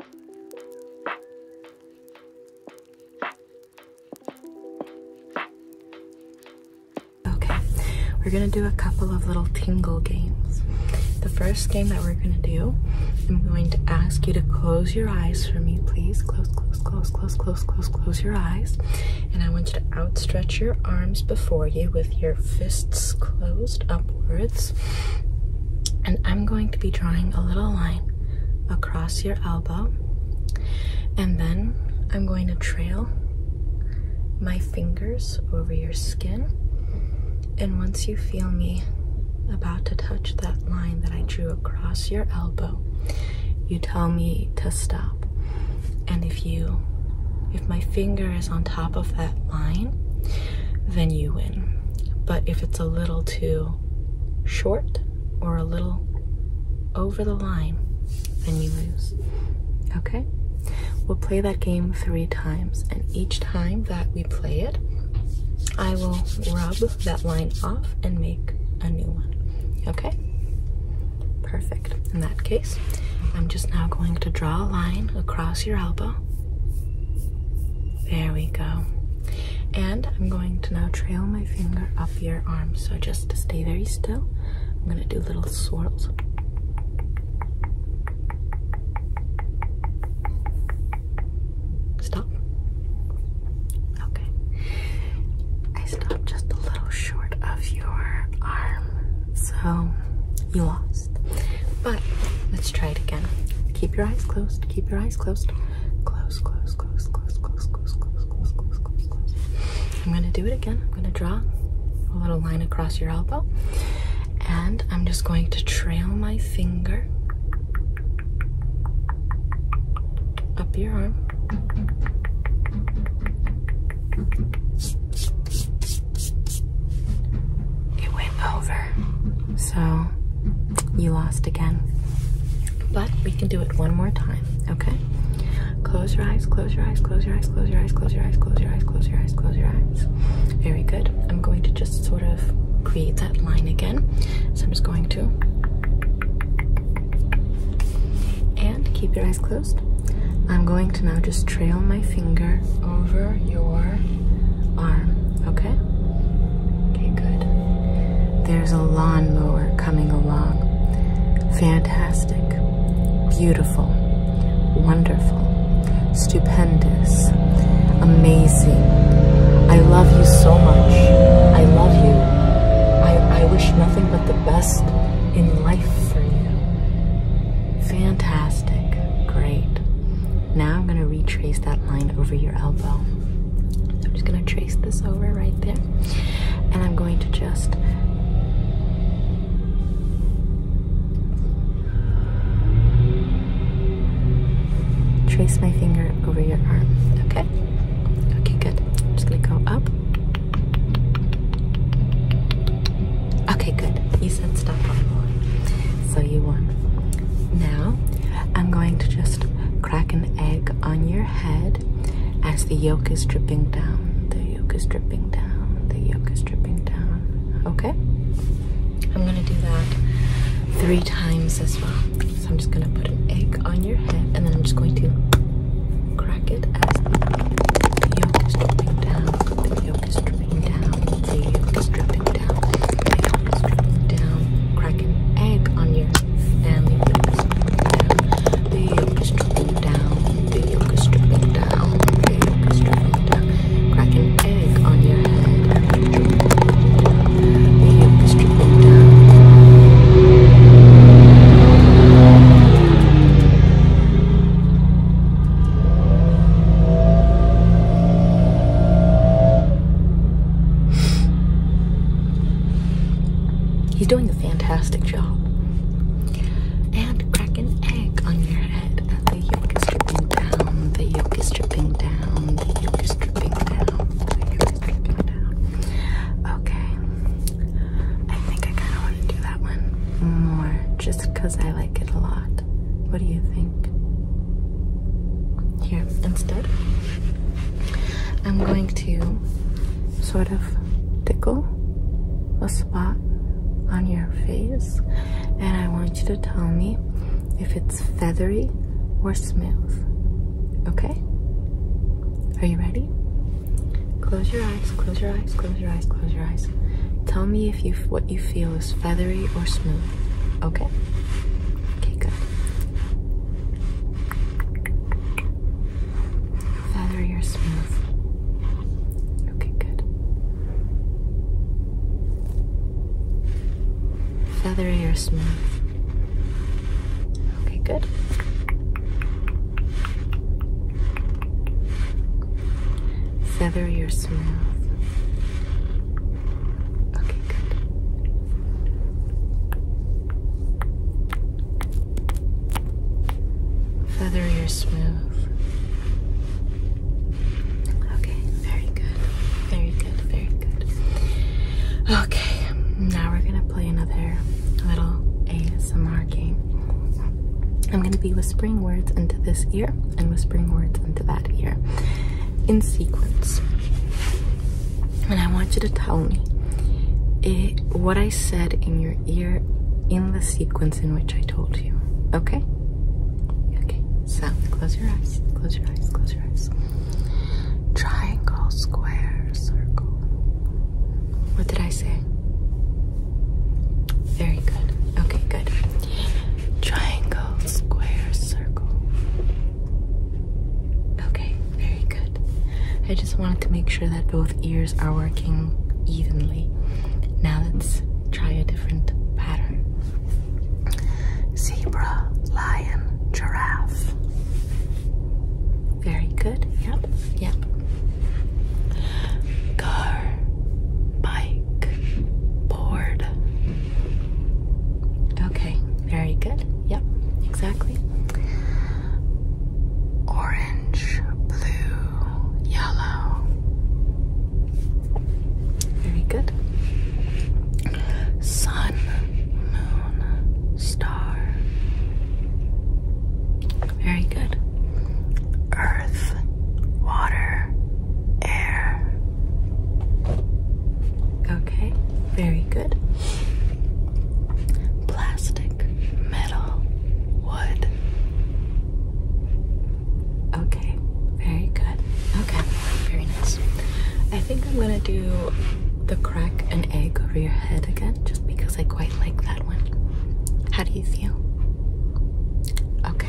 Okay, we're gonna do a couple of little tingle games. The first game that we're gonna do, I'm going to ask you to close your eyes for me, please. Close, close, close, close, close, close, close your eyes. And I want you to outstretch your arms before you with your fists closed up upwards. And I'm going to be drawing a little line across your elbow. And then I'm going to trail my fingers over your skin. And once you feel me about to touch that line that I drew across your elbow, you tell me to stop. And if you, if my finger is on top of that line, then you win. But if it's a little too short or a little over the line, then you lose. Okay? We'll play that game three times, and each time that we play it, I will rub that line off and make a new one. Okay? Perfect. In that case, I'm just now going to draw a line across your elbow. There we go. And I'm going to now trail my finger up your arm. So just to stay very still, I'm going to do little swirls. Stop. Okay. I stopped just a little short of your arm. So you lost. But let's try try it again. Keep your eyes closed. Keep your eyes closed. Close, close, close, close, close, close, close, close, close, close, close. I'm gonna do it again. I'm gonna draw a little line across your elbow. And I'm just going to trail my finger up your arm. It went over so you lost again. But we can do it one more time, okay? Close your eyes, close your eyes, close your eyes, close your eyes, close your eyes, close your eyes, close your eyes, close your eyes. Very good. I'm going to just sort of create that line again. So I'm just going to. And keep your eyes closed. I'm going to now just trail my finger over your arm, okay? Okay, good. There's a lawnmower coming along. Fantastic, beautiful, wonderful, stupendous, amazing. I love you so much. I love you. I, I wish nothing but the best in life for you. Fantastic, great. Now I'm going to retrace that line over your elbow. So I'm just going to trace this over right there. And I'm going to just trace my finger over your arm. Okay? Okay, good. I'm just going to go up. Okay, good. You so you want. Now, I'm going to just crack an egg on your head as the yolk is dripping down. The yolk is dripping down. The yolk is dripping down. Okay? I'm going to do that three times as well. So I'm just going to put an egg on your head and then I'm just going to crack it as the yolk is dripping down. The yolk is dripping dripping the yolk is dripping down, the yolk is dripping down. Crack egg on your family, the yolk is dripping down, the yolk is dripping down, the yolk is dripping down. Crack egg on your head, the yolk is dripping down. He's doing a fantastic job. And crack egg on your head. The yolk is dripping down. The yolk is dripping down. The yolk is dripping down. The yolk is dripping down. Okay. I think I kind of want to do that one more just because I like it a lot. What do you think? Here, instead, I'm going to sort of tickle a spot on your face, and I want you to tell me if it's feathery or smooth. Okay? Are you ready? Close your eyes, close your eyes, close your eyes, close your eyes. Tell me if you what you feel feathery or smooth. Okay? Okay, good. Feathery or smooth. Okay, good. Feathery or smooth. Okay, good. Feather your smooth. Okay, good. Feather your smooth. Okay, very good. Very good, very good. Okay, now we're gonna play another little ASMR game. I'm gonna be whispering words into this ear and whispering words into that ear in sequence. And I want you to tell me eh, what I said in your ear in the sequence in which I told you. Okay? Okay, so close your eyes, close your eyes, close your eyes. Triangle, square, circle. What did I say? Very good. Okay, good. Triangle, square, circle. Okay, very good. I just wanted to make sure that both ears are working evenly. Now let's try a different pattern. Zebra, lion, giraffe. Very good. Yep, yep. Go. bike bored. Okay, very good. Yep, exactly. Orange, blue, yellow. Very good. Sun, moon, star. Very good earth, water, air. Okay, very good. Plastic, metal, wood. Okay, very good. Okay, very nice. I think I'm gonna do the crack and egg over your head again just because I quite like that one. How do you feel? Okay.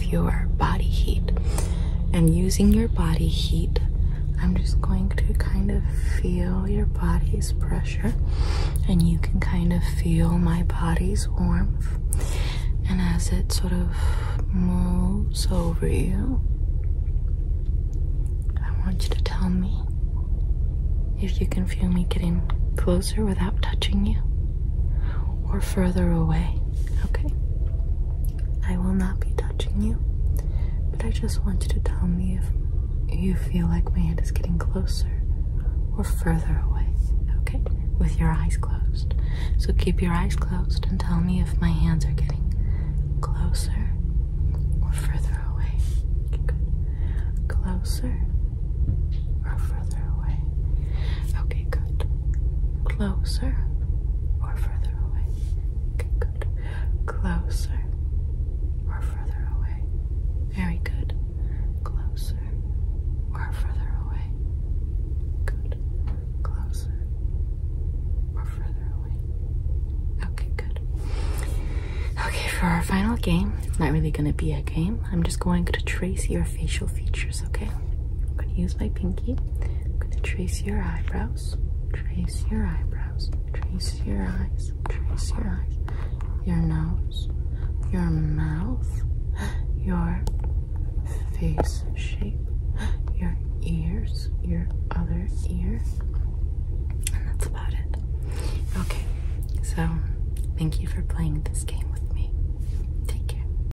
your body heat. And using your body heat, I'm just going to kind of feel your body's pressure, and you can kind of feel my body's warmth. And as it sort of moves over you, I want you to tell me if you can feel me getting closer without touching you or further away. Okay. I will not be touching you, but I just want you to tell me if you feel like my hand is getting closer or further away, okay? With your eyes closed. So keep your eyes closed and tell me if my hands are getting closer or further away. Good. Closer or further away. Okay, good. Closer or further away? Okay, good. Closer or further away? Very good. Closer or further away? Good. Closer or further away? Okay, good. Okay, for our final game, it's not really going to be a game. I'm just going to trace your facial features, okay? I'm going to use my pinky. I'm going to trace your eyebrows, trace your eyebrows, trace your eyes, trace your eyes, your nose, your mouth, your face shape, your ears, your other ear. And that's about it. Okay, so thank you for playing this game with me. Take care.